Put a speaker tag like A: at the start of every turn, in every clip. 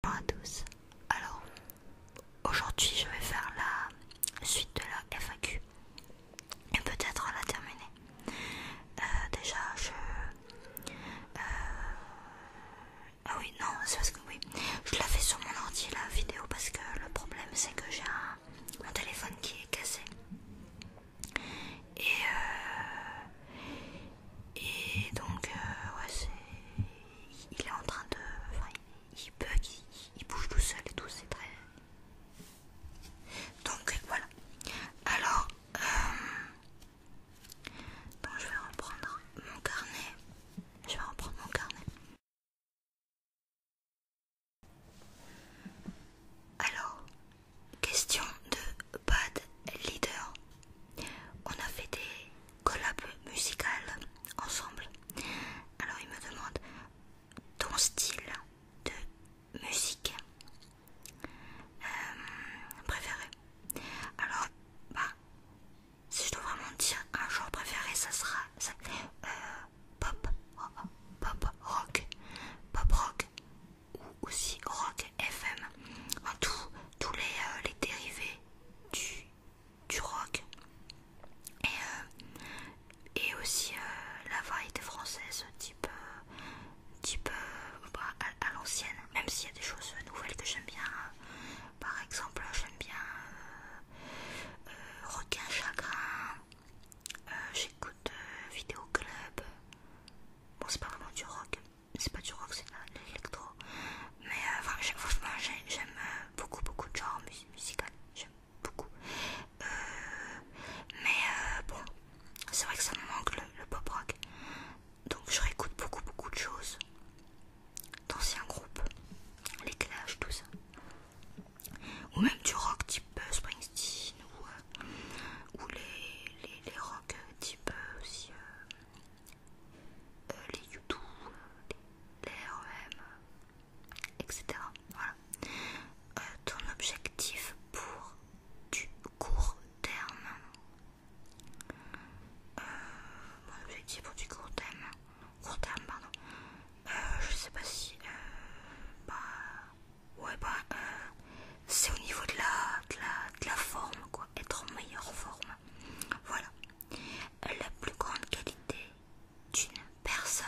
A: Bonjour à tous. Alors, aujourd'hui, je vais faire la suite de la FAQ et peut-être la terminer. Euh, déjà, je. Euh, ah oui, non, c'est parce que oui, je la fais sur mon ordi la vidéo parce que le problème c'est que j'ai un... téléphone qui est cassé et, euh, et donc, euh, ouais, c'est. Il est en train de. Enfin, il, bug, il, bouge tout seul et tout, c'est très. Donc, voilà. Alors, euh... je vais reprendre mon carnet. Je vais reprendre mon carnet. Alors, question de Bad Leader. On a fait des collab musical ensemble. Alors il me demande ton style de musique euh, préféré. Alors bah si je dois vraiment dire un genre préféré, ça sera euh, pop, oh, oh, pop rock, pop rock ou aussi rock FM. tout tous les, euh, les dérivés du du rock et, euh, aussi euh, la variété française type petit euh, type bah, à, l'ancienne même s'il y a des choses nouvelles que j'aime bien par exemple j'aime bien requin chagrin j'écoute vidéo club bon c'est pas vraiment du rock c'est pas du rock, c'est de l'électro. Mais euh, franchement, j'aime euh, beaucoup, beaucoup de genres musicaux. J'aime beaucoup. Euh, mais bon, c'est vrai que ça me manque le, pop rock. Donc je réécoute beaucoup, beaucoup de choses. D'anciens groupes, les Clash, tout ça. Ou même du rock type Springsteen ou, les, les, rock type aussi. Euh, les YouTube, les, REM, etc. Voilà. Euh, ton objectif pour du court terme. Euh, mon objectif pour du court terme. Court terme, pardon. je sais pas si. Bah, ouais, bah. C'est au niveau de la, de, la, de la forme, quoi. Être en meilleure forme. Voilà la plus grande qualité d'une personne.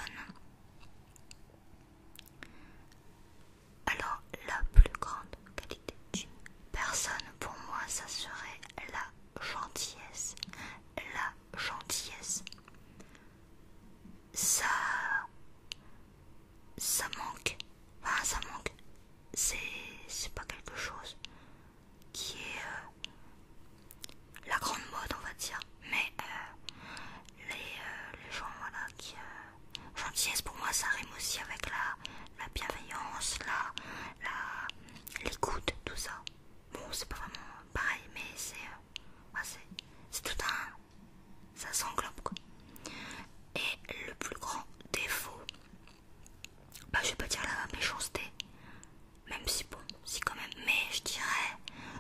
A: Alors la plus grande qualité d'une personne pour moi ça serait la gentillesse. La gentillesse. Ça ça manque. Enfin ça manque. C'est pas quelque chose qui est euh, la grande mode, on va dire. Mais euh, euh, les, gens voilà, qui. gentillesse pour moi, ça rime aussi avec la, la bienveillance, la l'écoute, tout ça. Bon, c'est pas vraiment pareil, mais c'est. c'est tout un. Ça s'englobe quoi. Et le plus grand défaut bah, je vais pas dire la méchanceté, même si bon, si quand même, mais je dirais,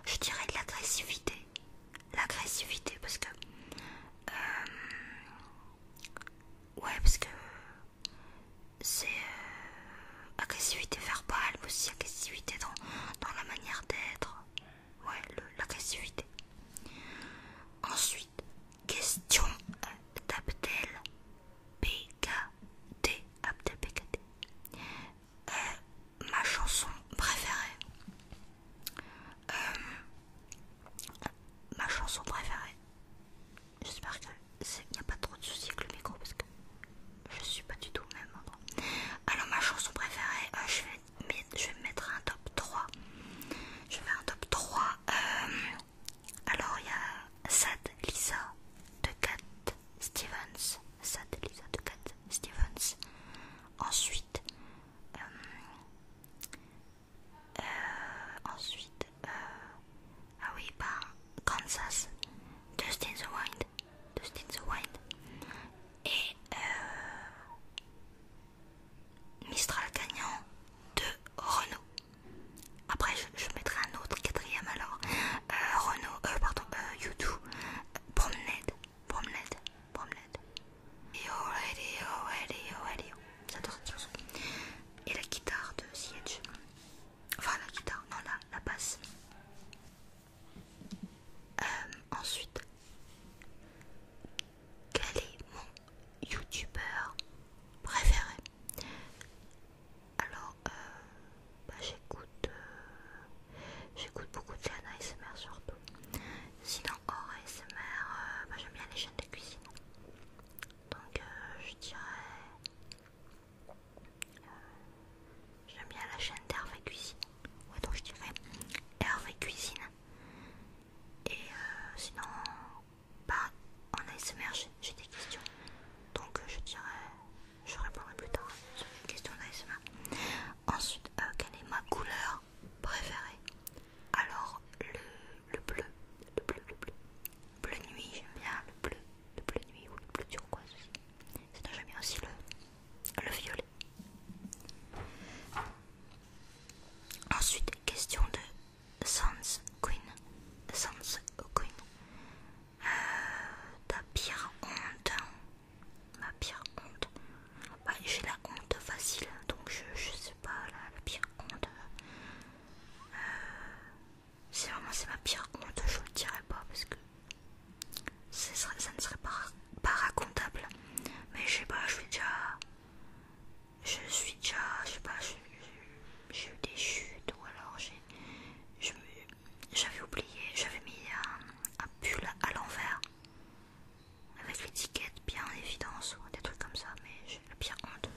A: je dirais de l'agressivité, l'agressivité parce que, euh, ouais, parce que c'est euh, agressivité verbale, mais aussi agressivité dans, dans la manière d'être, ouais, l'agressivité. Ensuite, question euh, Taptel PKT. Abdel PKT. Euh, ma chanson préférée. Euh, ma chanson préférée. J'espère qu'il n'y a pas trop de soucis avec le micro parce que je suis pas du tout au même endroit. Alors ma chanson préférée, euh, je, vais, mettre un top 3. Je vais faire un top 3 alors il y a Sad Lisa de Cat Stevens. Sad Lisa de Cat Stevens. Ensuite, euh, euh, ensuite, euh, ah oui, par Kansas, Just in the Wind, Just in the Wind, et euh, Mistral Gagnant de Renault. Après, je, mettrai un autre quatrième alors. Euh, Renault, euh, pardon, YouTube, euh, promenade, promenade, promenade. Et oh, allez, oh, allez, oh, allez, oh. J'adore Et la guitare de Siege. Enfin, la guitare, non, la, la basse. Euh, ensuite, quel est mon youtubeur préféré alors, euh, bah, j'écoute euh, j'écoute beaucoup de chaînes ASMR surtout. Sinon, hors ASMR, euh, bah, j'aime bien les chaînes de cuisine. Donc, je dirais. j'aime bien la chaîne d'Hervé Cuisine. Ouais, donc je dirais Hervé Cuisine. Et sinon, pas bah, en ASMR, j'ai des questions. Donc euh, je dirais, je répondrai plus tard sur les questions d'ASMR. Ensuite, euh, quelle est ma couleur préférée Alors le, bleu, le bleu, le bleu. Bleu nuit, j'aime bien le bleu, le bleu nuit ou le bleu turquoise aussi. c'est j'aime bien aussi le, le violet. Ensuite, question de sans Queen, Sans Queen. Euh, ta pire honte, ma pire honte. Bah, j'ai la honte facile, donc je, sais pas la, pire honte. Euh, c'est vraiment c'est ma pire honte, je le dirai pas parce que ça ne serait pas, pas racontable. Mais je sais pas, je suis déjà, je suis déjà, je sais pas, j'ai eu des chutes ou alors j'ai j'avais oublié, j'avais mis un, pull à l'envers avec l'étiquette bien en évidence, des trucs comme ça, mais j'ai le pire compte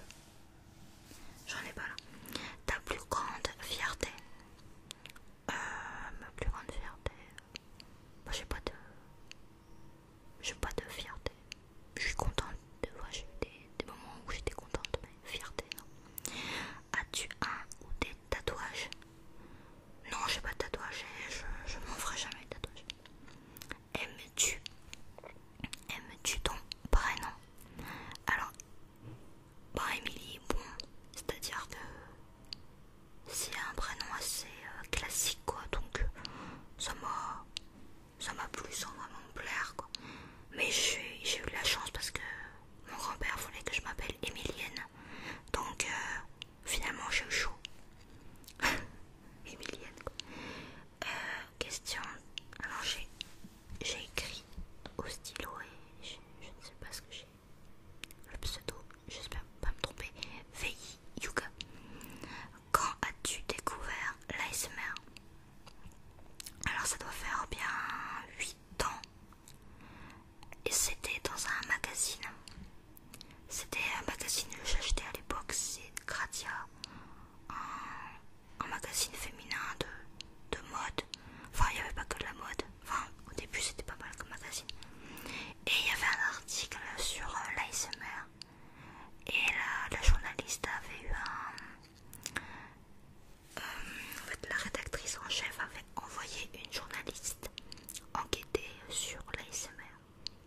A: J'en ai pas là. Ta plus grande fierté. Euh, ma plus grande fierté. Moi j'ai pas de. J'ai pas de fierté. Je suis contente deux fois j'ai eu des, moments où j'étais contente, mais fierté, non. As-tu un ou des tatouages Non, j'ai pas de tatouage je, je m'en ferai jamais de tatouage. Aimes-tu Aimes-tu ton prénom Alors, bah, Emily, bon, c'est-à-dire que c'est un prénom assez euh, classique, quoi, donc ça m'a ça m'a plu sans vraiment plaire, quoi. Mais j'ai eu la chance parce que mon grand-père voulait que je m'appelle Emilienne Donc euh, finalement j'ai eu chaud. Emilienne quoi. Euh, question. Alors j'ai écrit au stylo et je, ne sais pas ce que j'ai. Le pseudo, j'espère pas me tromper. VI Yuga. Quand as-tu découvert l'ASMR alors ça doit faire bien 8 ans. Et c'était dans un magazine. C'était un magazine que j'achetais à l'époque, c'est Gratia. Un, magazine féminin de, mode. Enfin, il n'y avait pas que de la mode. Enfin, au début, c'était pas mal comme magazine. Et il y avait un article sur euh, l'ASMR. Et la journaliste avait eu un, euh, en fait, la rédactrice en chef avait envoyé une journaliste enquêter sur l'ASMR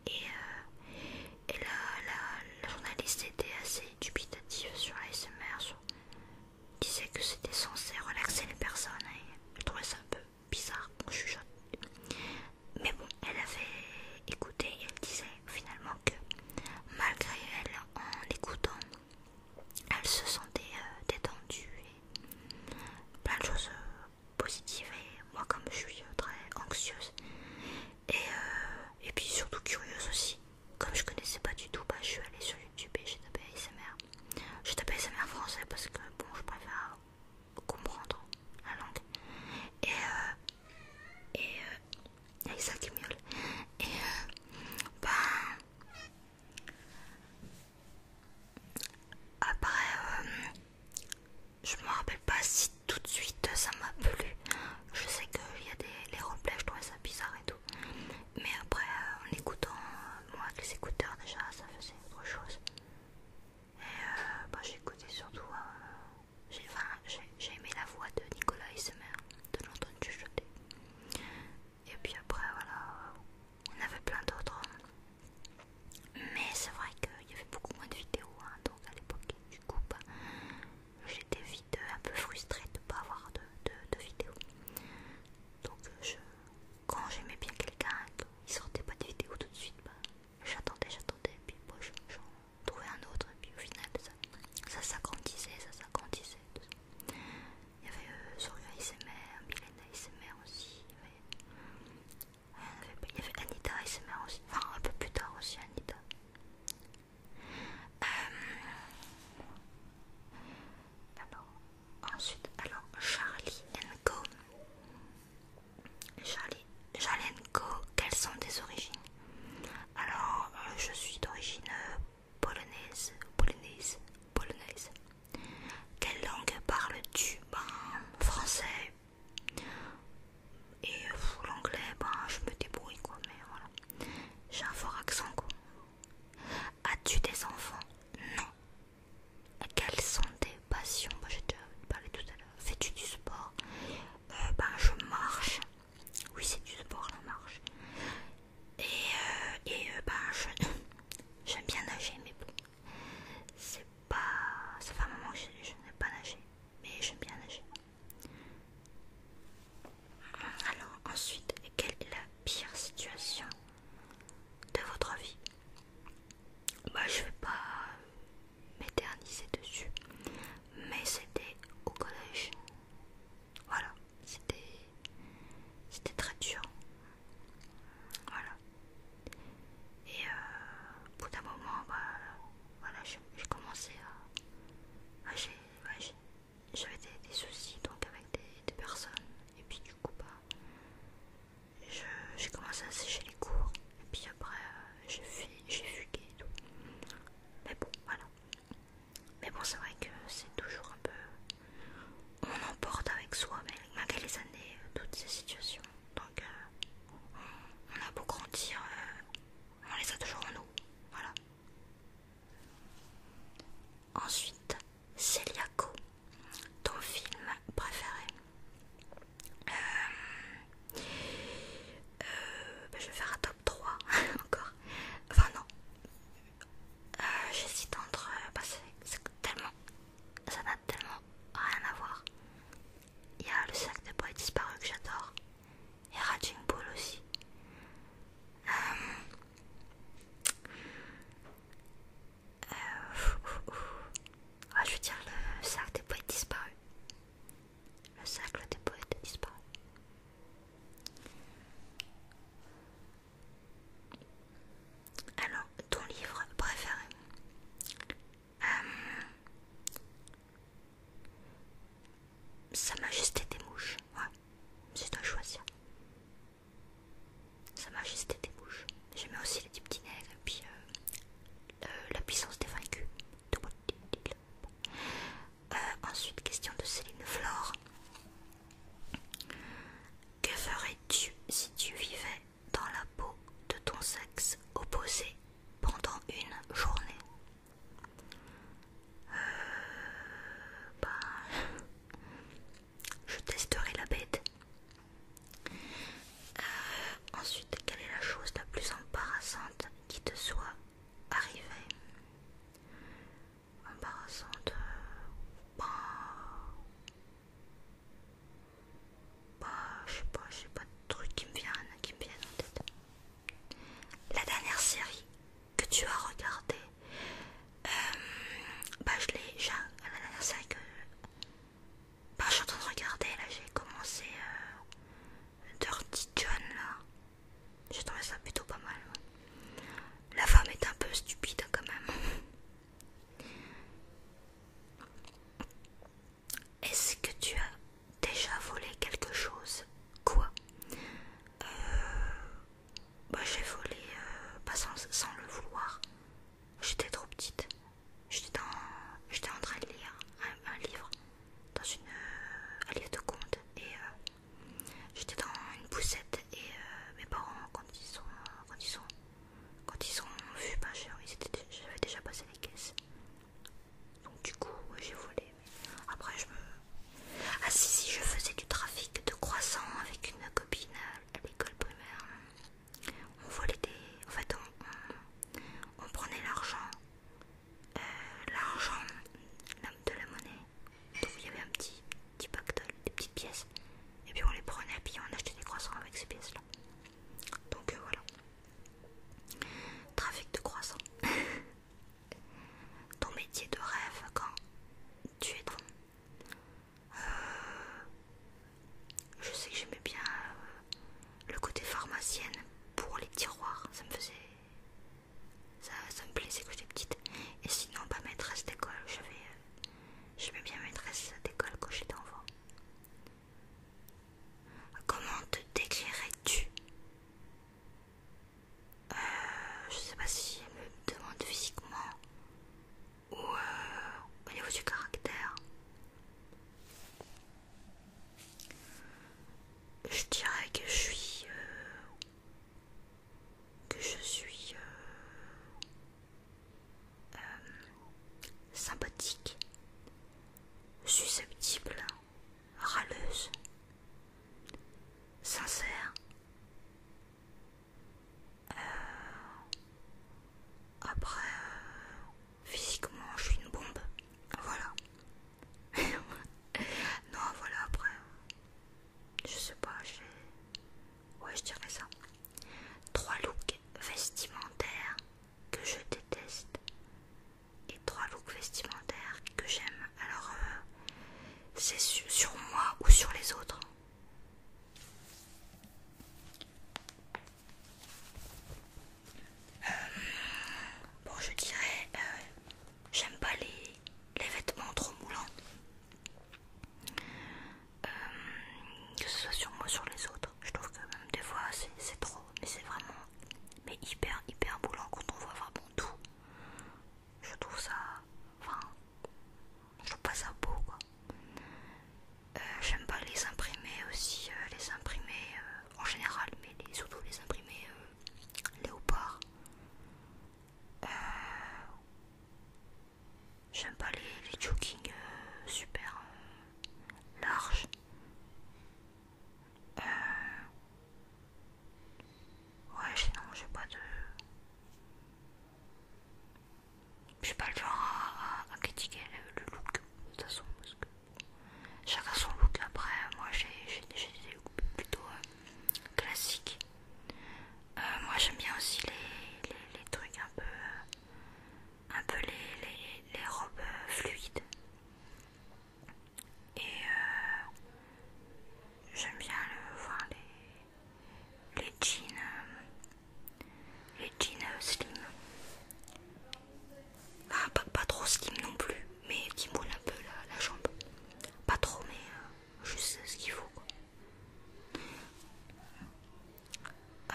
A: et, euh, la, journaliste était assez dubitative sur l'ASMR, Elle disait que c'était censé relaxer les personnes et elle trouvait ça un peu bizarre, on chuchote. Mais bon, elle avait écouté et elle disait finalement que malgré elle, en écoutant, elle se sentait euh, détendue et plein de choses euh, positives. Et moi, comme je suis euh, très anxieuse et, puis surtout curieuse aussi, comme je connaissais pas du tout, bah, je suis allée sur YouTube et j'ai tapé ASMR. J'ai tapé ASMR français parce que bon, je préfère comprendre la langue. Et, et Et euh, ben, après, euh, je me rappelle pas si tout de suite ça m'a plu. Je sais qu'il y a des les replays, je trouvais ça bizarre et tout. Mais après, euh, en écoutant, moi avec les écouteurs déjà, ça faisait autre chose. Et ben, j'ai écouté surtout, j'ai aimé la voix de Nicolas Semer, de l'entendre jeté et puis après, voilà, on avait plein d'autres. Mais c'est vrai qu'il y avait beaucoup moins de vidéos, hein, donc à l'époque, du coup, bah, j'étais vite euh, un peu frustrée de ne pas avoir de, vidéos. Donc, euh, quand j'aimais bien quelqu'un il qu'il sortait pas de vidéos tout de suite, bah, j'attendais, j'attendais, puis moi, j'en trouvais un autre, et puis au final, ça, ça s'agrandissait, ça s'agrandissait. Il y avait euh, Sorya SMR ASMR, Milena ASMR aussi. Il y, avait, euh, Anita ASMR aussi. Enfin, un peu plus tard aussi, Anita. Euh, ensuite, alors Charlie Go Charlie, Charlie Co, quelles sont tes origines Alors, je suis d'origine Polonaise, polonaise, polonaise. Quelle langue parles-tu Ben, français. Et l'anglais, ben, je me débrouille quoi, mais voilà. J'ai un fort accent quoi. As-tu des enfants Non. Quelles sont tes passions je ben, J'ai déjà tout à l'heure. Fais-tu du sport euh, Ben, je marche. Oui, c'est du sport la marche. Et, ben et euh, bah, j'aime bien nager, mais bon, c'est pas. Ça fait un moment que je, je n'ai pas nagé, mais j'aime bien nager. Alors, ensuite, quelle est la pire situation de votre vie Bah, je vais pas m'éterniser dessus, mais c'était au collège. Voilà, c'était très dur. Voilà. Et euh, au bout d'un moment, bah, j'ai commencé à... Bah, bah, j'avais des, soucis donc avec des, personnes. Et puis du coup, j'ai commencé à sécher les cours. Et puis après, euh, j'ai fugué et tout. Mais bon, voilà. Mais bon, c'est vrai que c'est toujours un peu. On emporte avec soi, malgré les années, euh, toutes ces situations. Donc, euh, on a beau grandir, euh, on les a toujours en nous. Voilà. Ensuite, Celiaco, ton film préféré. Ben, je vais faire un top 3 encore. Enfin non. Euh, j'hésite entre parce euh, bah c'est tellement ça n'a tellement rien à voir il y a le sac des poètes disparu que j'adore et Raging Bull aussi euh, ah, je veux dire le sac des poètes disparu le sac des poètes disparu alors, ton livre préféré euh, Sa Majesté des Mouches, ouais, c'est toi dois choisir. Sa Majesté des Mouches. J'aimais aussi les petits nègres et puis euh, euh, la puissance des vaincus. Euh, ensuite, question de Céline Flore. Que ferais-tu si tu vivais dans la peau de ton sexe opposé pendant une journée euh, bah, Je testerai la bête. Euh, ensuite, quelle est la chose la plus embarrassante qui te soit arrivée embarrassant de euh, pas bah, je sais pas, je sais pas de trucs qui me viennent qui me en tête. La dernière série que tu as regardée, euh, bah je l'ai La dernière série que bah, je suis en train de regarder, là j'ai commencé euh, Dirty John là je' trouvé ça plutôt pas mal. La femme est un peu stupide hein, quand même. Est-ce que tu as déjà volé quelque chose Quoi euh, bah, J'ai volé, euh, sans, le vouloir. J'étais trop petite. J'étais en train de lire un, livre, dans une, euh, de contes, J'étais dans une poussette et euh, mes parents, quand ils sont, quand ils ont pas cher, j'avais déjà passé les caisses. Donc du coup, j'ai volé. Après, je me... Ah si, si, je faisais du trafic de croissants avec une copine à, l'école primaire. On volait des... En fait, on, prenait l'argent, euh, l'argent de la monnaie, donc il y avait un petit, petit de des petites pièces. Et puis on les prenait et puis on achetait des croissants avec ces pièces-là. Donc euh, voilà. Trafic de croissants. Ton métier de rêve quand tu es devant. Euh, je sais que j'aimais bien euh, le côté pharmacienne pour les tiroirs. Ça me faisait ça, me plaisait que j'étais petite. Et sinon, pas bah, maîtresse d'école. J'aimais euh, bien maîtresse d'école quand j'étais enfant. Comment te décrirais-tu euh, Je sais pas si elle me demande physiquement ou euh, au niveau du caractère. Je dirais que je suis euh, que je suis euh, euh, sympathique, susceptible, râleuse, sincère. Euh, après, physiquement, je suis une bombe. Voilà. non, voilà, après je sais pas, Ouais, je dirais ça. Trois looks vestimentaires que je déteste et trois looks vestimentaires que j'aime. Alors, euh, c'est sur moi ou sur les autres euh, Bon, je dirais, euh, j'aime pas les, les vêtements trop moulants. Euh, que ce soit sur moi ou sur les autres je trouve que même des fois c'est trop mais c'est vraiment mais hyper hyper boulant quand on voit vraiment tout je trouve ça enfin je trouve pas ça beau quoi euh, j'aime pas les imprimer aussi euh, les imprimer en général mais surtout les imprimer léopard euh, j'aime pas les, jokings euh, super euh, larges. ouais, sinon, j'ai pas de. J'ai pas le genre à, critiquer le, look, de toute façon, chacun son look. Après, moi j'ai des looks plutôt classiques. Euh, moi j'aime bien aussi les, trucs un peu, euh, un peu les, robes euh, fluides. Et j'aime bien le, voir les, les jeans, les jeans slim. pas, trop slim non plus, mais qui moule un peu la, jambe. Pas trop, mais juste ce qu'il faut. Quoi. Euh,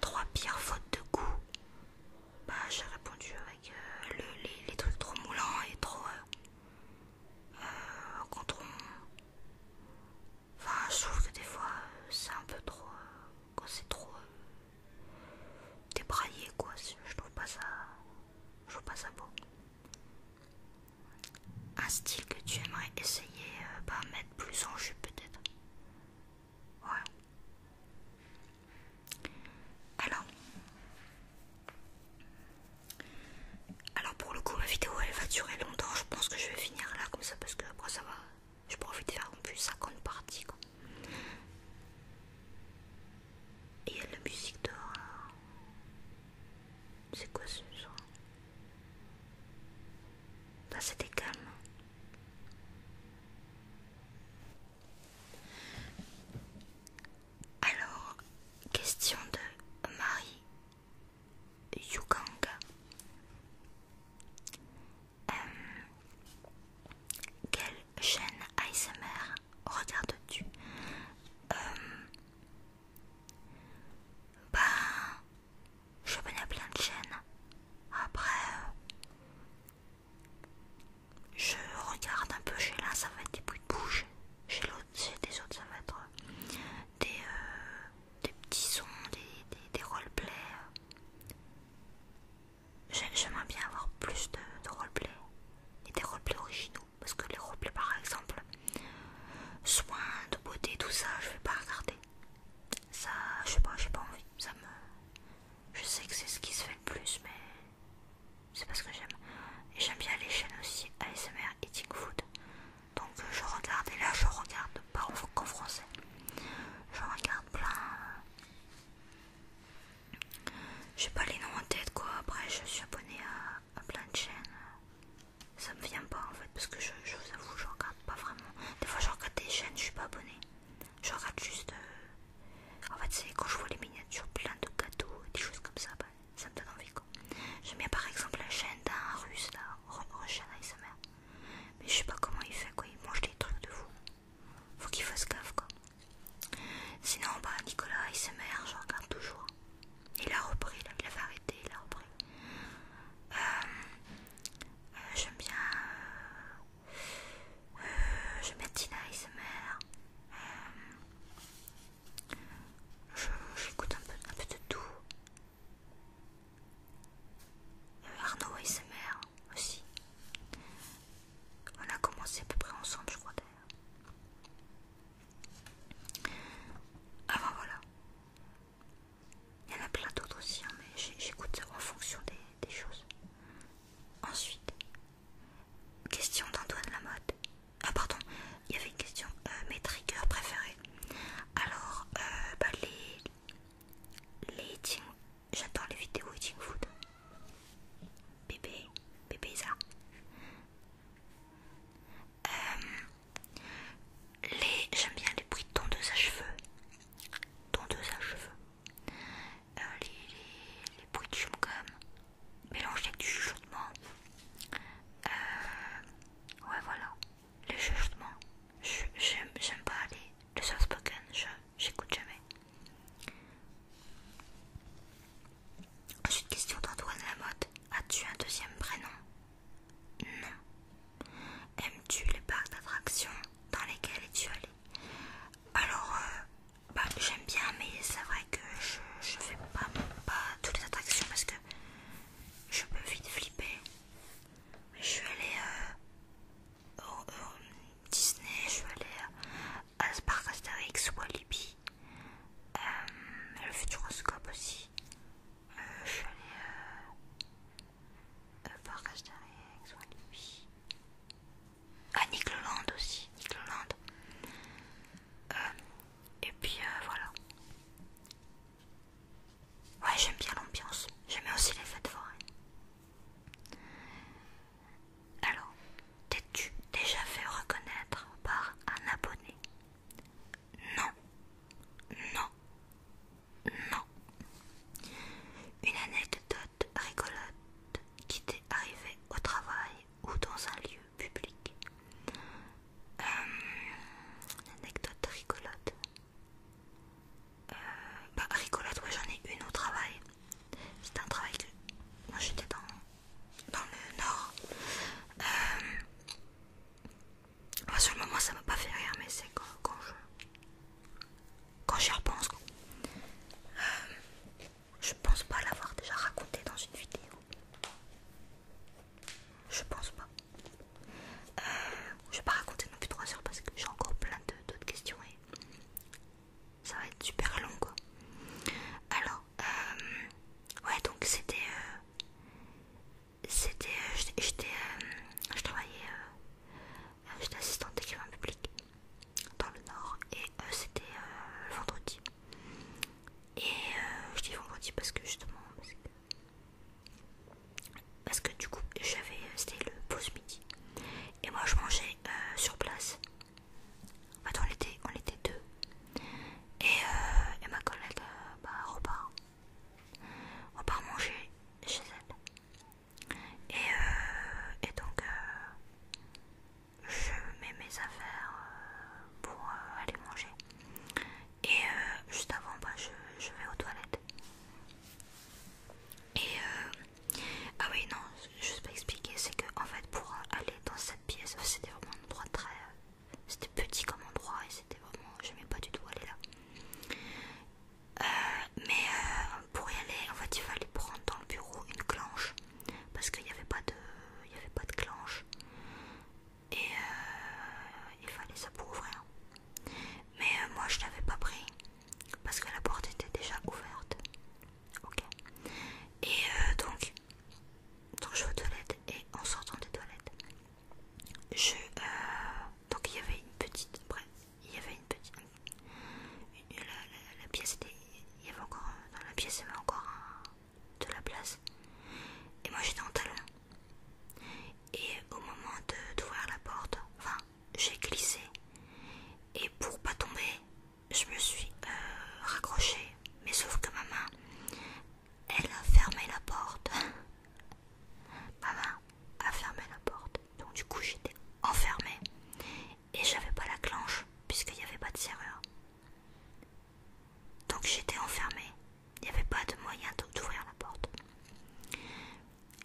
A: trois pires fautes de goût. Bah, j'ai répondu avec euh, les, trucs trop moulants et trop. Euh, je trouve que des fois, c'est un peu trop. quand c'est trop. débraillé, quoi. Je trouve pas ça. Je trouve pas ça beau. Un style que tu aimerais essayer, euh, bah, mettre plus en jupe peut-être. Alors. Alors pour le coup ma vidéo elle va durer longtemps, je pense que je vais finir là comme ça parce que après ça va. Je profite de faire en plus 50 parties quoi. Et la musique dehors c'est quoi ce genre Bah c'était calme. Alors, question de Marie Yukanga. Euh, quelle chaîne ASMR regardes-tu euh, ben, je à plein de chaînes. Après, euh, je regarde un peu chez l'un, ça va être des bruits de bouche. Chez l'autre, des autres, ça va être euh, euh, des, petits sons, des, des, roleplays. J'aimerais bien avoir plus de, de roleplay et des roleplays originaux. Parce que les replays par exemple, soins de beauté, tout ça, je vais pas regarder. Ça, je sais pas, j'ai pas envie. Ça me... Je sais que c'est ce qui se fait le plus, mais c'est parce que j'aime. Et j'aime bien les chaînes aussi ASMR Eating Food. Donc euh, je regarde, et là je regarde pas qu'en français. Je regarde plein. Euh, j'ai pas les noms en tête quoi. Après, je suis abonnée à plein de chaînes ça me vient pas en fait parce que je, je vous avoue je regarde pas vraiment des fois je regarde des chaînes je suis pas abonnée je regarde juste euh, en fait c'est quand je vois les miniatures plein de cadeaux et des choses comme ça bah, ça me donne envie quoi j'aime bien par exemple la chaîne d'un russe là Russian ASMR mais je sais pas comment il fait quoi il mange des trucs de fou faut qu'il fasse gaffe quoi sinon bah Nicolas ASMR je regarde toujours il a repris, il avait arrêté, il a repris. Euh, euh, j'aime bien. Euh, j'aime bien Tina ASMR. J'écoute un peu, un peu de tout. Arnaud Smr aussi. On a commencé à peu près ensemble, je crois d'ailleurs. Ah ben voilà. Il y en a plein d'autres aussi, hein, mais j'écoute ça en fonction des, choses. Ensuite, question d'Antoine Lamotte. Ah pardon, il y avait une question, euh, mes triggers préférés. Alors, euh, bah, les... les eating... J'adore les vidéos eating food. Bébé, bébé ça. Euh, j'aime bien les bruits de tondeuse à cheveux. Tondeuse à cheveux. Euh, les, bruits de chewing-gum. avec du chuchotement. Euh, ouais, voilà. Les chuchotements. J'aime pas les... Le spoken, j'écoute jamais. Ensuite, question d'Antoine Lamotte. As-tu un deuxième prénom Non. Aimes-tu les parcs d'attractions dans lesquels es-tu allé Alors, euh, bah, j'aime bien, mais c'est vrai que je ne fais pas, toutes les attractions parce que je peux vite flipper. Je suis allée euh, au, Disney, je suis allée à Spark Asterix, Libby. Euh, le futuroscope aussi. Euh, je suis allée euh, Asterix, à Nick aussi. Euh, et puis voilà. Ouais, j'aime bien l'ambiance. J'aimais aussi les fêtes foraines. Alors, t'es-tu déjà fait reconnaître par un abonné non, non, non. Une anecdote rigolote qui t'est arrivée au travail ou dans un lieu public. Euh, une anecdote rigolote. Euh, bah rigolote, ouais j'en ai une au travail. C'était un travail que moi j'étais dans, dans le nord. Euh, sur le moment, ça m'a pas fait rire, mais c'est quand, quand je. Quand j'y repense, quoi. Euh, je pense pas l'avoir déjà raconté dans une vidéo. Je pense pas. je euh, je vais pas raconter non plus 3 heures parce que j'ai encore plein d'autres questions et ça va être super long quoi. Alors, euh, ouais, donc c'était c'était euh, j'étais euh, je travaillais euh, j'étais assistante d'écrivain public dans le nord et c'était vendredi et je dis vendredi parce que justement parce que, du coup j'avais c'était le pause midi et moi je mangeais sur place en fait on était on était deux euh, et, ma collègue euh, bah, repart on repart. manger chez elle. Et, euh, et donc, je mets mes affaires pour aller manger. Et juste avant, bah, je, vais aux toilettes. Et ah oui, non, je sais pas expliquer, c'est que en fait, pour aller dans cette pièce, c'était vraiment un endroit très c'était petit comme endroit et c'était vraiment. J'aimais pas du tout aller là. Euh, mais euh, pour y aller, en fait, il fallait prendre dans le bureau une clanche parce qu'il n'y avait, pas de, y avait pas de clanche et euh, il fallait ça pour ouvrir. Mais moi, je l'avais pas pris parce que la porte était déjà ouverte. Ok. Et donc, donc, je vais aux toilettes et en sortant des toilettes, euh, donc il y avait une petite bref il y avait une petite la, pièce était il y avait encore dans la pièce il y avait encore de la place et moi j'étais en talon et au moment d'ouvrir la porte enfin j'ai glissé et pour pas tomber je me suis euh, raccroché. raccrochée mais sauf que ma main elle a fermé la porte. Maman a fermé la porte. Donc du coup j'étais enfermée et j'avais pas la clenche puisqu'il n'y avait pas de serrure. Donc j'étais enfermée. Il n'y avait pas de moyen d'ouvrir la porte.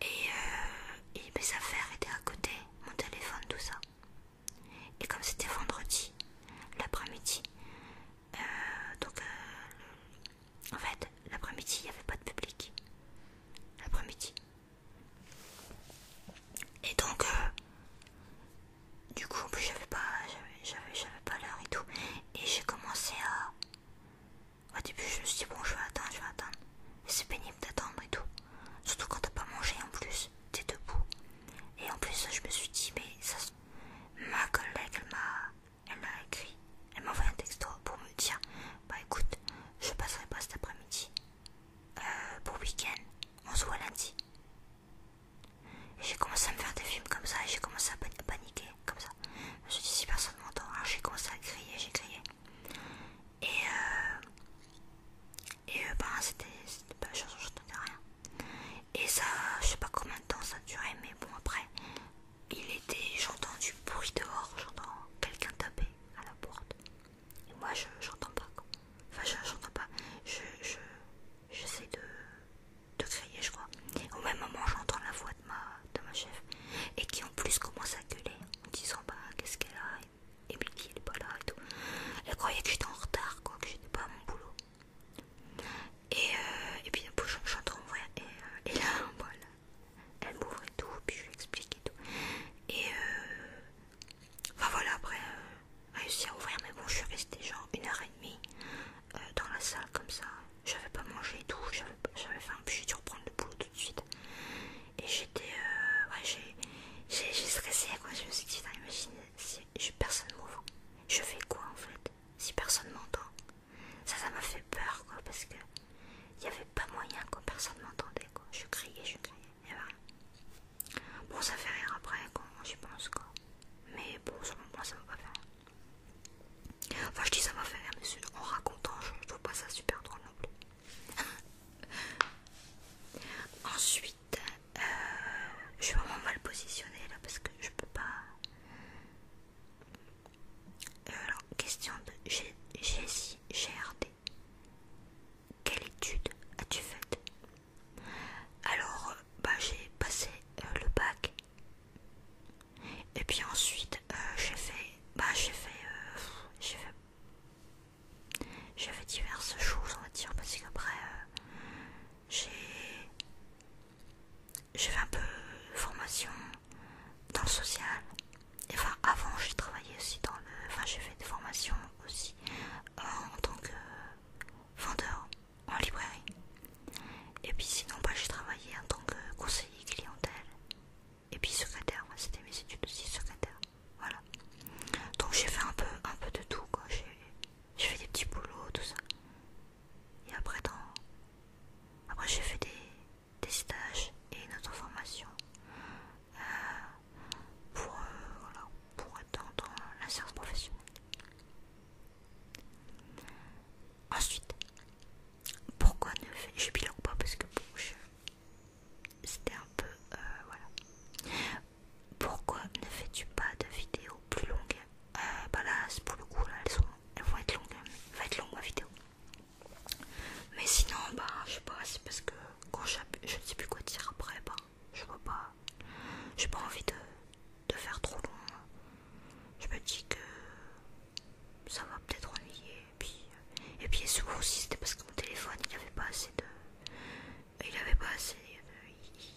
A: Et, euh, et mes affaires étaient à côté, mon téléphone, tout ça. Et comme c'était vendredi, l'après-midi, euh, donc, euh, en fait, l'après-midi, il n'y avait pas de public. L'après-midi. Et donc, euh, du coup, en plus, j'avais pas, pas l'heure et tout. Et j'ai commencé à. Au début, je me suis dit, bon, je vais attendre, je vais attendre. C'est pénible d'attendre et tout. Surtout quand t'as pas mangé en plus, t'es debout. Et en plus, je me suis dit, mais ça. Ma collègue, m'a elle m'a écrit, elle m'a envoyé un texto pour me dire Bah écoute, je passerai pas cet après-midi. Euh, pour week-end, on se voit lundi. J'ai commencé à me faire des films comme ça et j'ai commencé à, paniquer comme ça. Je me suis dit si personne m'entend, alors hein, j'ai commencé à crier, j'ai crié. Et euh, et euh, bah c'était pas la chanson, j'entendais rien. Et ça, je sais pas combien de temps ça durait mais bon après il était, j'entends du bruit dehors, j'entends quelqu'un taper à la porte. Et moi, je j'entends pas. Quoi. Enfin, j'entends pas. Je, j'essaie de, crier, je crois. Au même moment, j'entends la voix de ma, de ma chef et qui en plus commence à gueuler en disant bah, qu'est-ce qu'elle a, qui elle est pas là et tout. Elle croyait que j'étais en retard, quoi, que j'étais pas à mon boulot. Euh, et, puis et puis j'entends ouais, et, euh, et là voilà, elle m'ouvre et tout, puis je lui explique et tout. Et euh, enfin voilà, après réussi à ouvrir, mais bon je suis restée genre une heure et demie dans la salle comme ça. Je J'avais pas mangé et tout, j'avais faim, puis j'ai dû reprendre le boulot tout de suite. Et j'étais, ouais, j'ai stressé quoi, je me suis dit, imagine si je, personne m'ouvre, je fais quoi en fait si personne m'entend. Ça, ça m'a fait peur, quoi, parce que il n'y avait pas moyen que personne m'entendait, quoi. Je criais, je criais, et voilà Bon, ça fait rire après, quand j'y pense, quoi. Mais bon, selon moi, ça va pas fait Enfin, je dis ça m'a fait rire, mais en racontant, je, ne trouve pas ça super drôle non plus. Ensuite, euh, je suis vraiment mal positionnée là parce que je peux pas alors, question de G Jessie GRD. Quelle étude as-tu faite Alors, euh, bah, j'ai passé euh, le bac. Et puis ensuite, euh, j'ai fait... Bah, j'ai fait... j'ai fait j'ai fait diverses choses on va dire parce qu'après j'ai j'ai fait un peu formation dans le social. Et enfin, avant, j'ai travaillé aussi dans le. Enfin, j'ai fait des formations aussi euh, en tant que vendeur en librairie. Et puis, sinon, bah, j'ai travaillé en tant que conseiller clientèle. Et puis, secrétaire, c'était mes études aussi, secrétaire. Voilà. Donc, j'ai fait un peu, un peu de tout. J'ai fait des petits boulots, tout ça. Et après, dans... après j'ai fait des, des stages et une autre formation euh, pour, euh, pour être dans, la science professionnelle. Ensuite, pourquoi ne Je parce que bon, C'était un peu... Euh, voilà. Pourquoi ne fais-tu pas de vidéos plus longues euh, bah là pour le coup elles, sont, vont être longues, hein. être ma vidéo. Mais sinon bah je sais pas, c'est parce que quand je ne sais plus quoi dire après bah je vois pas, j'ai pas envie de, faire trop long. Hein. Je me dis que ça va peut-être ennuyer et puis euh, et puis souvent aussi c'était parce que mon téléphone il avait pas assez de il avait pas assez de, euh,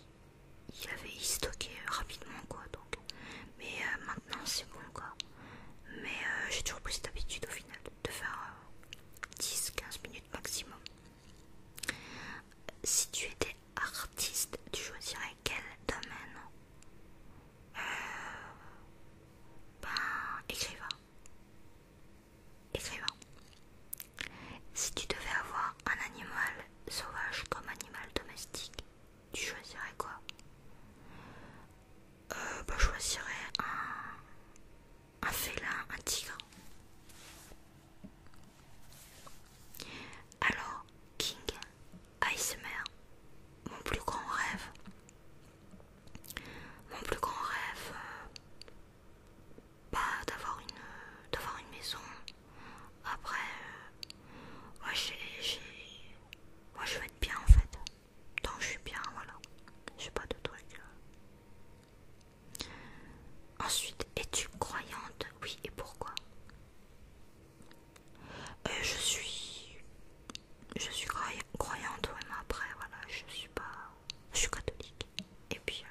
A: il avait stocké rapidement quoi donc mais euh, maintenant c'est bon quoi mais euh, j'ai toujours plus cette habitude au final de faire 10-15 euh, minutes maximum si tu étais artiste tu choisirais quel domaine ben écrivain écrivain si tu devais avoir un animal sauvage comme animal domestique tu choisirais quoi euh, bah, Je choisirais un, un félin, un tigre. Alors, King Icemer mon plus grand rêve. Mon plus grand rêve, pas euh, bah, d'avoir une, une maison après, moi, euh, moi je vais être bien en fait. Tant que je suis bien, voilà. J'ai pas de truc. Euh. Ensuite, es-tu croyante Oui, et pourquoi euh, Je suis. Je suis croyante, oui, mais après, voilà, je suis pas. Je suis catholique. Et puis,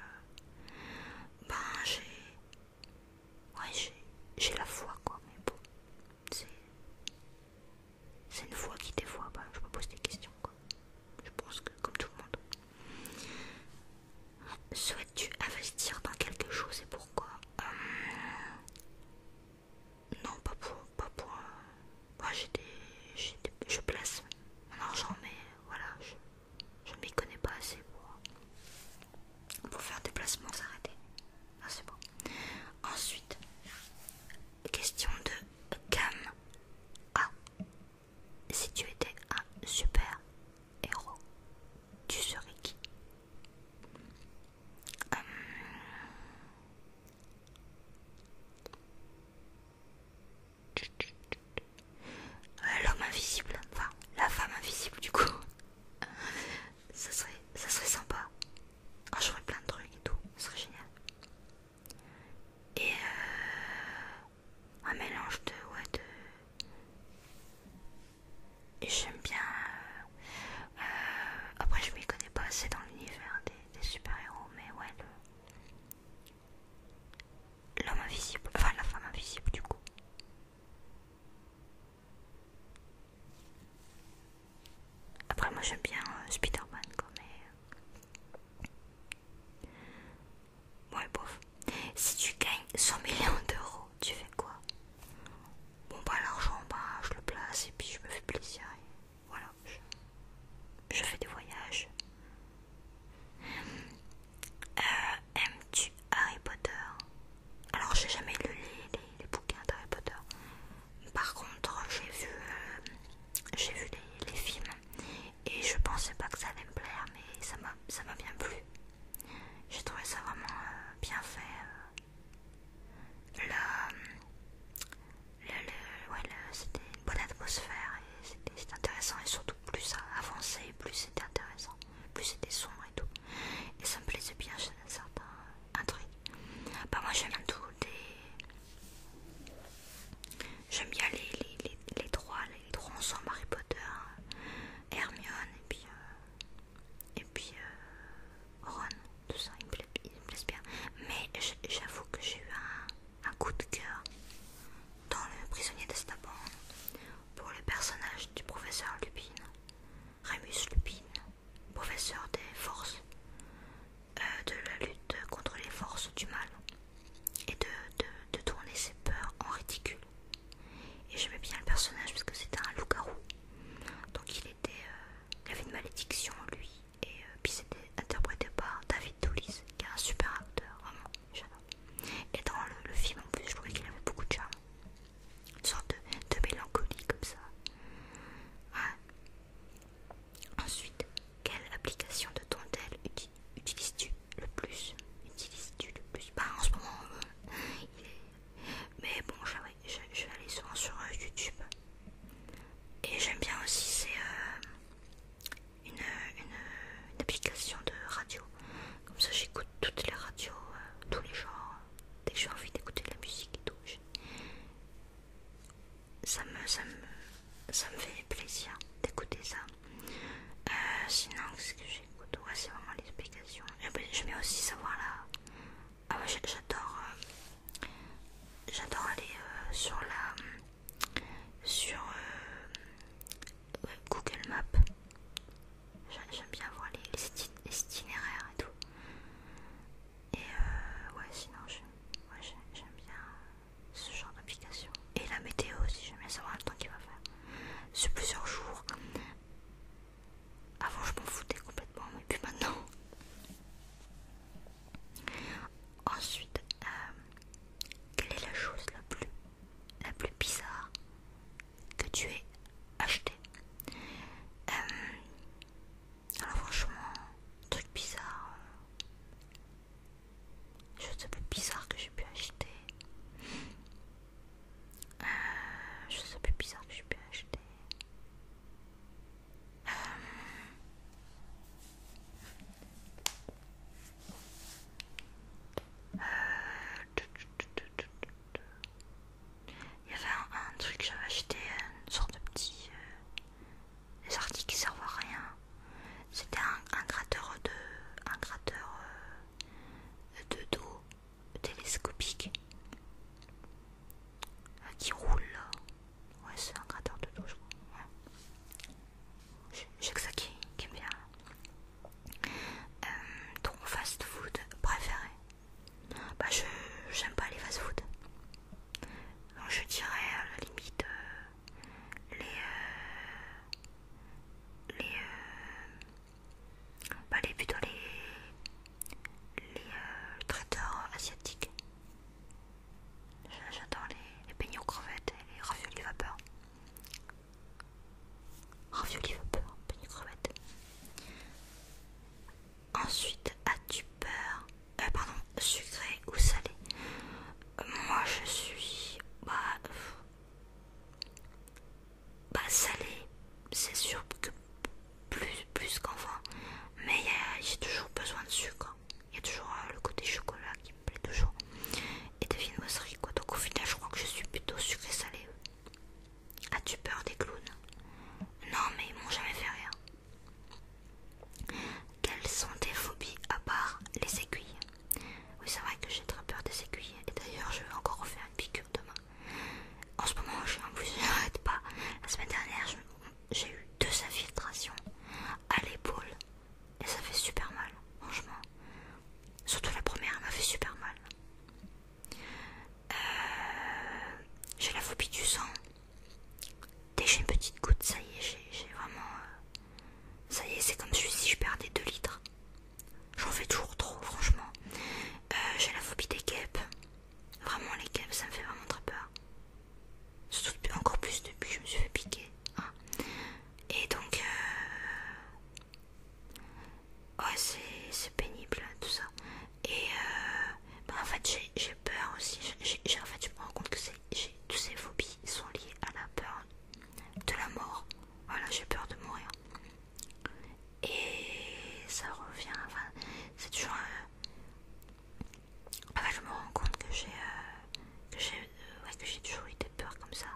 A: ben, j'ai. Ouais, j'ai la foi, quoi, mais bon, c'est. une foi qui, dévoie fois, bah, je me pose des questions, quoi. Je pense que, comme tout le monde. Souhaites-tu investir dans quelque chose et pourquoi euh, Non, pas pour. Pas pour euh, Moi, j'ai des, Je place mon argent, mais voilà, je. ne m'y connais pas assez pour, faire des placements s'arrêter. Ah, bon. Ensuite, question de Cam. Ah, si tu étais un super héros, tu serais qui euh, L'homme invisible, enfin la femme invisible du coup ça serait, ça serait sympa. Ah, j'aurais je plein de trucs et tout, ce serait génial. Et euh, un mélange de, ouais, de... Et j'aime bien... Euh, euh, après, je m'y connais pas assez dans l'univers des, des super-héros, mais ouais, le... L'homme invisible, enfin la femme invisible du coup. Après, moi j'aime bien euh, Spider-Man, quoi, mais. Euh, bof. Si tu gagnes 100 millions d'euros, tu fais quoi Bon, bah, l'argent, bah, je le place et puis je me fais plaisir. voilà, je, fais des voyages. Euh, Aimes-tu Harry Potter alors j'ai jamais lu les, bouquins d'Harry Potter. Par contre, j'ai vu, euh, j'ai vu les, films et je pensais pas que ça allait me plaire, mais ça m'a, bien plu. J'ai trouvé ça vraiment euh, bien fait. Euh. le, c'était une bonne atmosphère et c'était, intéressant et surtout plus ça avançait, plus c'était intéressant, plus c'était sombre et tout. Et ça me plaisait bien chez certains un truc. Bah moi j'aime tout des... J'aime bien les, les, les, trois, les trois Harry Potter, Hermione et puis, euh, et puis euh, Ron, tout ça, ils me, plaisent, bien. Mais j'avoue que j'ai eu un, coup de cœur dans le prisonnier d'Estaban pour le personnage du professeur Lupin, Remus Lupin professeur des forces, euh, de la lutte contre les forces du mal, et de, de, tourner ses peurs en ridicule. Et j'aimais bien le personnage parce que c'était un loup-garou. Donc il était, euh, il avait une malédiction lui. Et euh, puis c'était interprété par David Toulis, qui est un super acteur, vraiment, Et dans le, le film en plus, je trouvais qu'il avait beaucoup de charme une sorte de, mélancolie comme ça. Ah. Ensuite, quelle application de dentelle utilises-tu le plus Utilises-tu le plus Bah en ce moment, euh, il est... mais bon, je, vais aller souvent sur euh, YouTube. Et j'aime bien aussi, c'est euh, une, application de radio. Comme ça, j'écoute toutes les radios, tous les genres dès que j'ai envie d'écouter de la musique et tout, ça, me, ça, me, fait plaisir d'écouter ça. Euh, sinon, ce que j'écoute c'est vraiment l'explication. Ben, je mets aussi savoir la. Ah j'adore. Euh, j'adore aller euh, sur la. sur Google Maps. J'aime bien voir les, itinéraires et tout. Et euh, ouais, sinon, j'aime bien ce genre d'application. Et la météo aussi, j'aime bien savoir le temps qu'il va faire. Sur plusieurs jours. Avant, je m'en foutais complètement, mais puis maintenant. Ensuite, euh, quelle est la chose la plus, la plus bizarre que tu aies acheté. Euh, alors franchement, truc bizarre. Euh, je sais plus bizarre que j'ai pu acheter. chose euh, je sais plus bizarre que j'ai pu acheter il y avait un, truc que j'avais acheté euh, une sorte de petit. Euh, des articles qui servent à rien. C'était un, gratteur de. un gratteur euh, de dos télescopique qui roule. Ouais, c'est un gratteur de dos, je crois. J'ai que ça qui, est bien. ton fast food préféré bah je j'aime pas les fast-food. je dirais à la limite euh, les euh, les euh, bah les plutôt les les traiteurs asiatiques. J'adore les, les crevettes et les raviolis vapeur. Raviolis vapeur, beignets crevettes. Ensuite, as-tu peur euh, Pardon, sucré ou salé Moi, je suis. Bah. bah salé, c'est sûr que plus, plus Mais j'ai toujours besoin de sucre. Il y a toujours euh, le côté chocolat qui me plaît toujours. Et devine-moi, ce quoi Donc, au final, je crois que je suis plutôt sucré-salé. As-tu peur des clowns Non, mais ils m'ont jamais fait rien. Quelles sont tes phobies à part les aiguilles Oui, c'est vrai que j'ai très peur des aiguilles. Et d'ailleurs, je vais encore refaire une piqûre demain. En ce moment, j'ai en plus, je pas. La semaine dernière, j'ai eu deux infiltrations à l'épaule. Et ça fait super mal, franchement. Surtout la première, m'a fait super mal. Euh, j'ai la phobie du sang. déjà une petite goutte, ça y est, j'ai vraiment. Euh, ça y est, c'est comme si je perdais 2 litres. J'en fais toujours trop, franchement. Euh, j'ai la phobie des guêpes. Vraiment, les guêpes, ça me fait vraiment très peur. Surtout encore plus depuis que je me suis fait piquer. Hein. Et donc. Ouais, c'est pénible tout ça. Et euh, bah, en fait j'ai peur aussi, en fait je me rends compte que tous ces phobies sont liées à la peur de la mort. Voilà, j'ai peur de mourir. Et ça revient, enfin, c'est toujours... Euh, enfin je me rends compte euh, que j'ai toujours eu des peurs comme ça.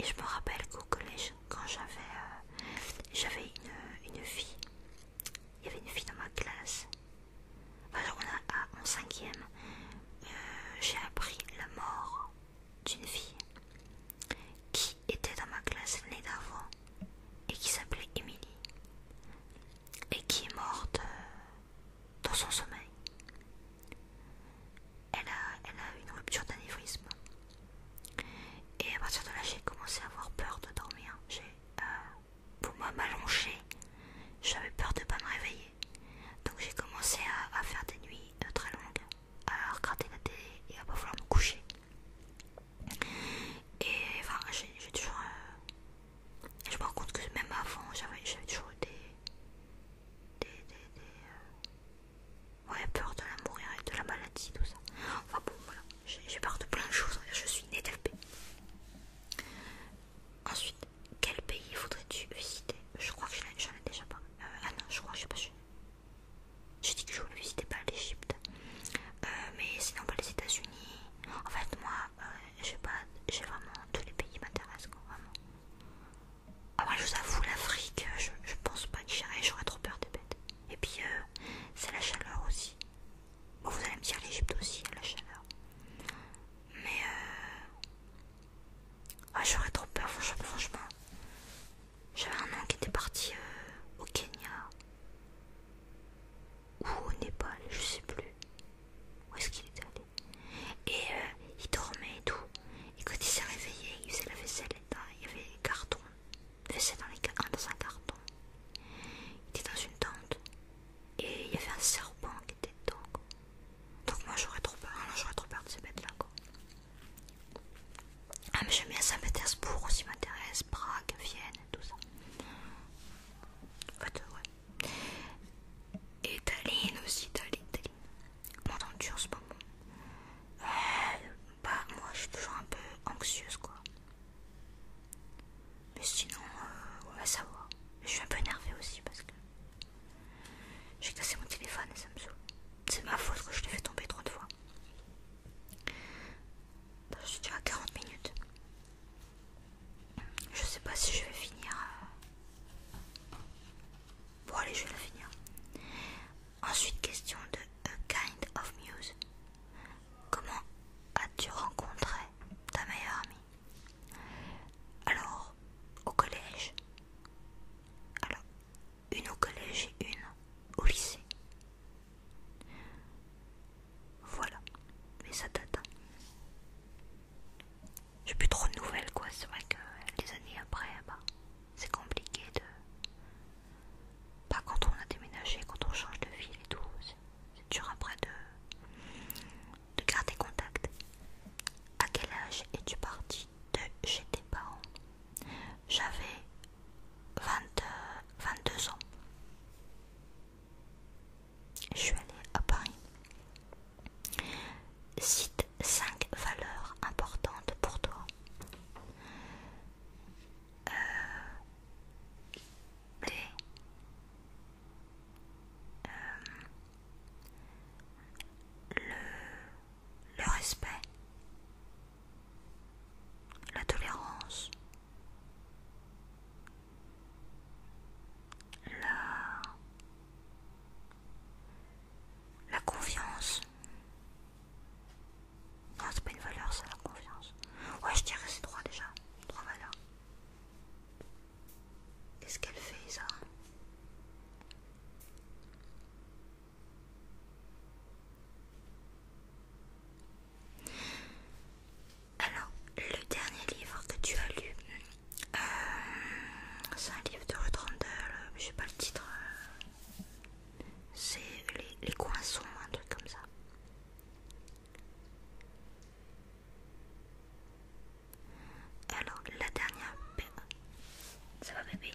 A: Et je me rappelle qu'au collège, quand j'avais j'avais une, une fille il y avait une fille dans ma classe. Alors on a, en cinquième, euh, j'ai appris la mort d'une fille qui était dans ma classe l'année d'avant et qui s'appelait Émilie et qui est morte euh, dans son sommeil. Elle a, elle a eu une rupture d'anévrisme. Et à partir de là, j'ai commencé à avoir peur de dormir. Euh, pour m'allonger, j'avais peur de pas me réveiller. Donc j'ai commencé à, faire des nuits euh, très longues, à regarder la télé et à pas vouloir me coucher. Et enfin, j'ai toujours. Euh, je me rends compte que même avant, j'avais toujours eu des. des. des. des ouais, peur de la mourir et de la maladie, tout ça. Enfin j'ai peur de plein de choses, hein. je suis née de Ensuite, quel pays voudrais-tu visiter Je crois que je n'en ai déjà pas. Euh, ah non, je crois que je sais pas. J'ai dit que je voulais visiter pas l'Egypte. Euh, mais sinon pas les États-Unis. En fait, moi, euh, j'ai pas, j'ai vraiment tous les pays m'intéressent, vraiment. Ah, ouais je vous avoue, l'Afrique, je, je pense pas que j'irai, j'aurais trop peur des bêtes. Et puis, c'est la chaleur aussi. Vous allez me dire l'Égypte aussi, la chaleur. Mais euh... ah, j'aurais trop peur, franchement. J'avais un homme qui était parti euh, au Kenya ou au Népal, je sais plus où est-ce qu'il était allé. Et euh, il dormait et tout. Et quand il s'est réveillé, il faisait la vaisselle il y avait des cartons il dans, dans un carton. Il était dans une tente et il y avait un serpent qui était dedans. Donc moi j'aurais trop peur, j'aurais trop peur de ces bêtes-là. Ah mais j'aime bien Saint-Pétersbourg aussi m'intéresse, Prague, Vienne, tout ça. En fait, euh, ouais. Et Tallinn aussi, Tallinn, Tallinn. Mon c'est pas bon. bah moi je suis toujours un peu anxieuse quoi. Mais sinon, euh, on va savoir. Je suis un peu énervée aussi parce que j'ai cassé mon téléphone et ça me saoule. C'est ma faute que je l'ai fait tomber trop de fois. Bah, je suis déjà à 40 minutes. Je sais pas si je vais finir. Euh. Bon, allez, je vais la finir. Ensuite, question de A euh, Kind of Muse. Comment as-tu rencontré ta meilleure amie Alors, au collège Alors, une au collège et une au lycée. Voilà, mais ça date. Hein. J'ai plus trop de nouvelles, quoi. C'est vrai que des années après, bah, c'est compliqué de pas quand on a déménagé, quand on change de ville et tout. C'est dur après de, garder contact. À quel âge es-tu parti de chez tes parents J'avais 22 euh, ans. Je suis allée à Paris. Cite 5 valeurs importantes pour toi. Euh, euh, le, le respect, la tolérance, la, la confiance, non, c'est pas une valeur, c'est la confiance. Ouais, je dirais c'est trois déjà. Trois valeurs. Qu'est-ce qu'elle fait, ça Alors, le dernier livre que tu as lu, euh, c'est un livre de Ruth Randall, euh, je sais pas le titre, euh, c'est les, les coins un truc comme ça. Alors, la dernière... Ça bébé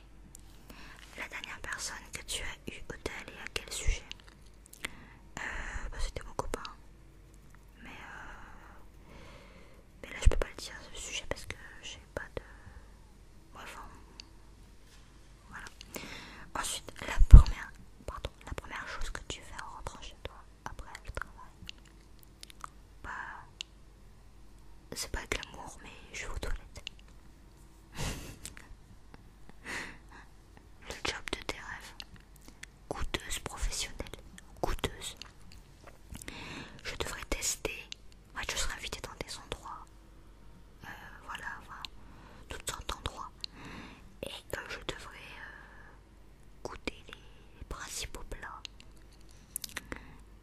A: La dernière personne que tu as eu au tel et à quel sujet euh, bah, C'était mon copain. Mais, euh, mais là, je peux pas le dire, ce sujet, parce que j'ai pas de... Enfin, voilà. Ensuite, la première, la première chose que tu fais en rentrant chez toi après le travail, bah, c'est pas de l'amour, mais je vais aux toilettes. le job de tes rêves, coûteuse professionnelle, coûteuse. Je devrais tester. je serais invitée dans des endroits. Euh, voilà, voilà, toutes sortes d'endroits et que je devrais euh, goûter les, principaux plats.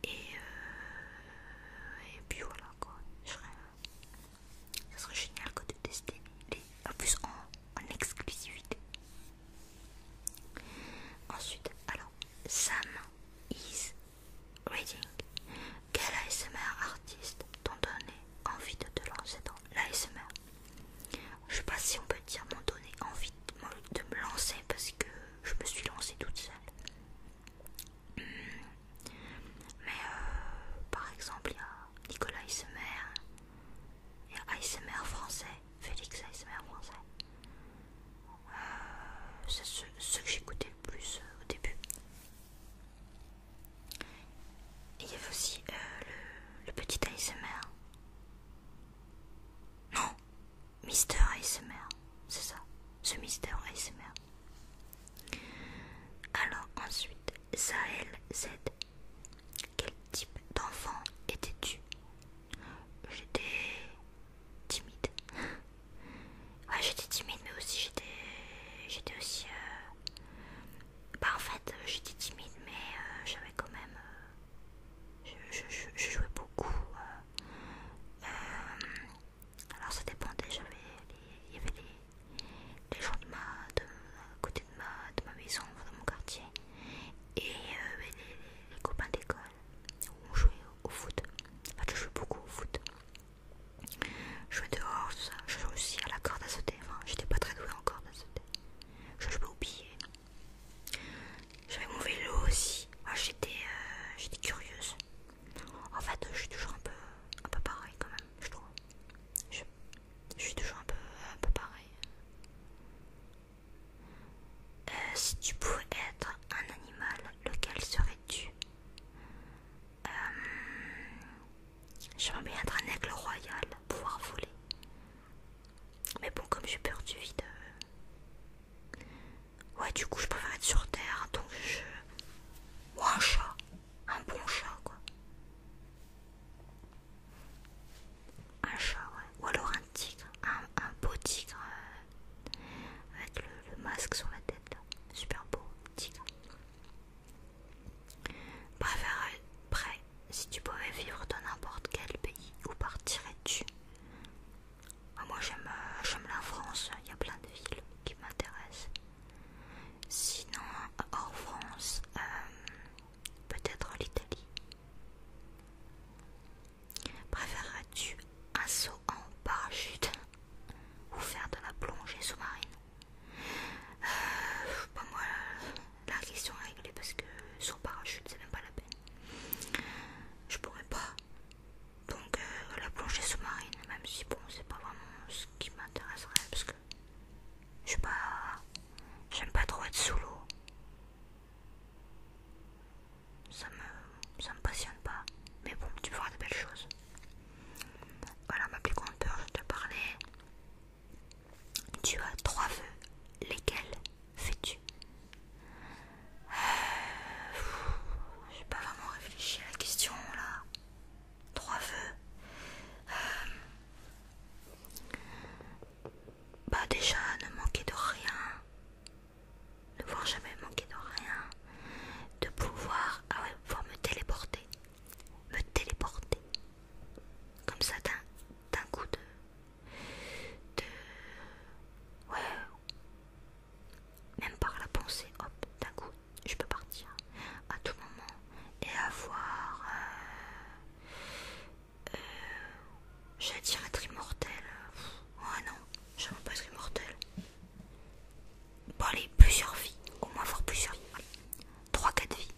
A: Et, euh, puis voilà quoi, euh, ça serait génial que de tester les, en plus en, exclusivité. Ensuite, alors, Sam is reading. Quel ASMR artiste t'en donné envie de te lancer dans l'ASMR. Je sais pas si on peut dire m'en donner envie de me lancer parce que je me suis lancée toute seule. Hmm. Mais euh, par exemple, il y a Nicolas ASMR, il ASMR français, Félix ASMR français. Euh, c'est ceux ce que j'écoutais le plus euh, au début il y avait aussi euh, le, petit ASMR. Non, Mister ASMR, c'est ça, ce Mister ASMR. Alors ensuite, Sahel Z. Quel type d'enfant étais-tu J'étais timide. Ouais, j'étais timide, mais aussi j'étais, j'étais aussi euh, bah en fait euh, j'étais timide mais euh, j'avais quand même euh, je, jouais beaucoup alors ça dépendait j'avais il y avait les, gens de ma de, côté de ma, de ma maison de mon quartier et les, copains d'école où on jouait au, foot en je jouais beaucoup au foot je jouais dehors tout ça je réussis à la corde à sauter enfin j'étais pas très douée en corde sauter je, peux oublier. J'avais mon vélo aussi. Ah, euh, j'étais curieuse. En fait, je suis toujours un peu, un peu pareil quand même, je trouve. Je, suis toujours un peu, un peu pareil. Euh, si tu pouvais être un animal, lequel serais-tu euh, J'aimerais bien être un aigle royal, pouvoir voler. Mais bon, comme j'ai peur du vide. Euh, ouais, du coup, je préfère être sur terre, donc je. Ou un chat. Un bon chat, quoi. Un chat, Ou alors un tigre. Un, beau tigre. Euh, avec le, masque sur la tête, Super beau tigre. Préférerais-tu, si tu pouvais vivre dans n'importe quel pays, où partirais-tu ah, Moi euh, j'aime la France, il y a plein de villes qui m'intéressent. Sinon, hors France, euh, peut-être l'Italie. Préférerais-tu un saut en parachute ou faire de la plongée sous-marine euh, moi la question est réglée parce que sur parachute c'est même pas la peine. Je pourrais pas. Donc euh, la plongée sous-marine, même si bon c'est pas vraiment ce qui m'intéresserait parce que je suis pas. J'aime pas trop être sous l'eau. Ça me, ça me passionne pas. Mais bon, tu peux voir de belles choses. Voilà ma plus grande peur, je te parlais tu as trois vœux, lesquels fais-tu euh, J'ai pas vraiment réfléchi à la question là. Trois vœux. Euh, bah déjà, ne manquer de rien. Ne voir jamais manquer de rien. De pouvoir, ah pouvoir me téléporter. Me téléporter comme ça d'un coup de, de... Ouais, même par la pensée, hop, d'un coup, je peux partir à tout moment et avoir, euh, euh dire être immortel. Oh non, je veux pas être immortel. Bon allez, plusieurs vies, au moins avoir plusieurs vies. 3-4 vies.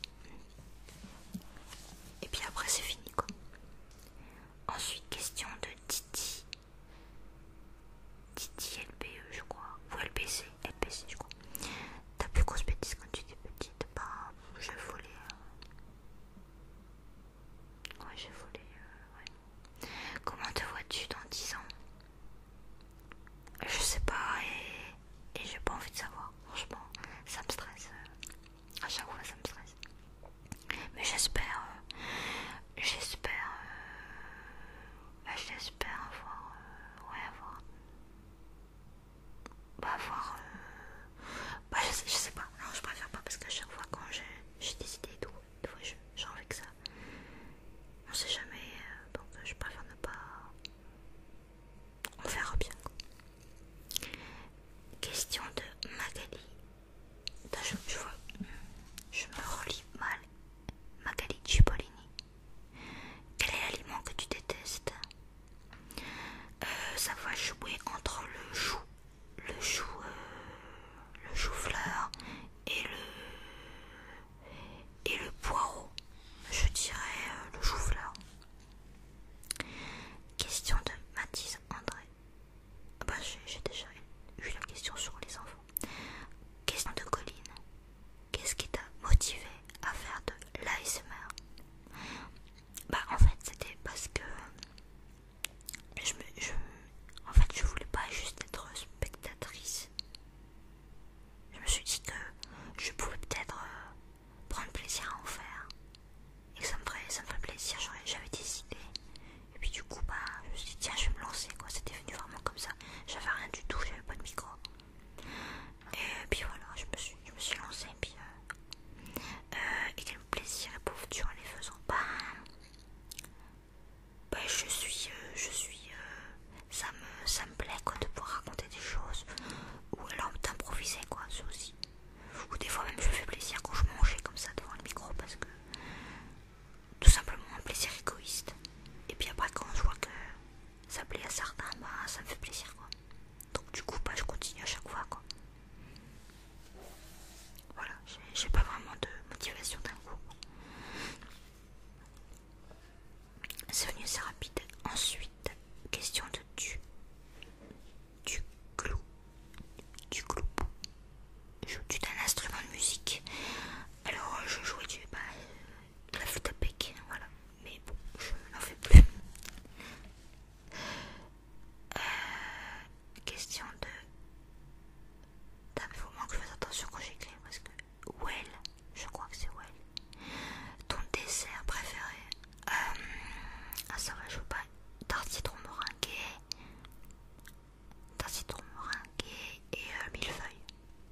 A: Et puis après c'est fini quoi. Ensuite question de Titi. Titi LPE je crois. Ou LBC LPC je crois. T'as plus grosse bêtise quand tu étais petite. Bah j'ai volé. Euh. Ouais j'ai volé. Euh, ouais. Comment te vois-tu dans 10 ans Je sais pas et et j'ai pas envie de savoir, franchement, ça me stresse, euh, à chaque fois ça me stresse. Mais j'espère, euh, j'espère, euh, bah, j'espère avoir, ouais, avoir, bah avoir, bah je sais, pas, non je préfère pas parce qu'à chaque fois quand j'ai des idées et tout, fois j'ai envie que ça, on sait jamais, donc je préfère ne pas, on faire bien Question de Magali. Je, je, me relis mal. Magali Cipollini. Quel est l'aliment que tu détestes Ça euh, va jouer entre le chou, le chou, euh, le fleur et le et le poireau. Je dirais euh, le chou-fleur. Question de Mathis André. Bah, j'ai déjà eu la question sur les enfants. Question de Colline. Qu'est-ce qui t'a motivé à faire de l'ASMR Bah en fait c'était parce que je en fait je voulais pas juste être spectatrice. Je me suis dit que je pouvais peut-être euh, prendre plaisir à en faire et ça me ça me ferait plaisir, j'avais des idées et puis du coup bah je me suis dit tiens je vais me lancer quoi, c'était venu vraiment comme ça, j'avais rien du tout, j'avais pas de micro et puis voilà je me suis, je me suis lancée et puis euh, euh et quel plaisir tu en les faisant bah, bah je suis, euh, je suis, euh, ça me, ça me plaît quoi de pouvoir raconter des choses ou alors d'improviser quoi, ça aussi. Ou des fois même je fais plaisir quand je mangeais comme ça devant le micro parce que tout simplement un plaisir égoïste. Et puis après quand je vois que ça plaît à certains, bah ça me fait plaisir quoi. Donc du coup bah je continue à chaque fois quoi. Voilà, j'ai pas vraiment de motivation d'un coup. C'est venu assez rapide. Ensuite, Question de tu, tu clou. tu clou. Joues-tu d'un instrument de musique Alors, je jouais du. Bah, de la flûte à voilà. Mais bon, je n'en fais plus. Euh, question de. Il faut que je fasse attention quand j'écris parce que. Well, je crois que c'est Well. Ton dessert préféré euh, Ah ça va, je veux pas. Tarte citron meringuée. Tarte citron meringuée et euh, mille Millefeuille,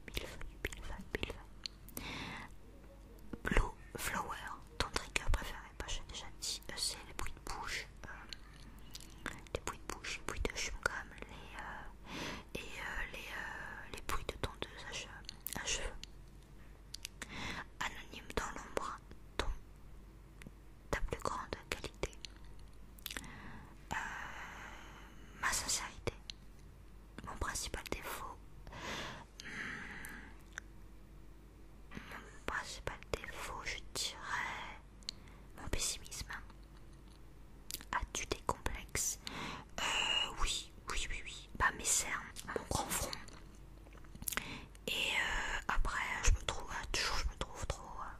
A: mille millefeuille. Blue flower. Ton trigger préféré Bah j'ai déjà dit, euh, c'est euh, les bruits de bouche. les bruits de bouche, les bruits de chewing comme les... et les, les bruits de tondeuse à cheveux. Anonyme dans l'ombre, ton, ta plus grande qualité. Euh, ma sincérité. Mon principal défaut. Hmm. Mon principal défaut, je dirais mon pessimisme. As-tu des complexes euh, Oui, oui, oui, oui. mes cernes, mon grand front, et euh, après, je me trouve euh, toujours, je me trouve trop, euh,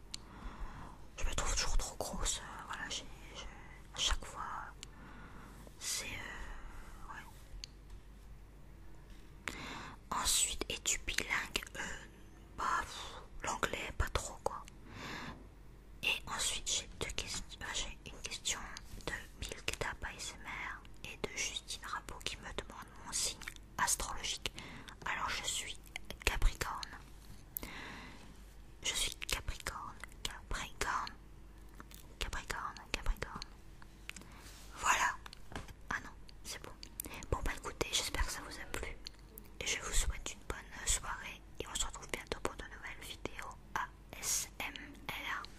A: je me trouve toujours trop grosse. Voilà, à chaque fois, c'est Ensuite, et du bilingue bah, l'anglais, pas trop quoi. Et ensuite, j'ai deux questions. J'ai une question de Milk ASMR et de Justine Rabot qui me demande mon signe astrologique. Alors je suis Capricorne. Je suis Capricorne, Capricorne, Capricorne, Capricorne. Voilà. Ah non, c'est bon. Bon bah écoutez, j'espère que ça vous a plu. Et je vous souhaite une bonne soirée et on se retrouve bientôt pour de nouvelles vidéos ASMR.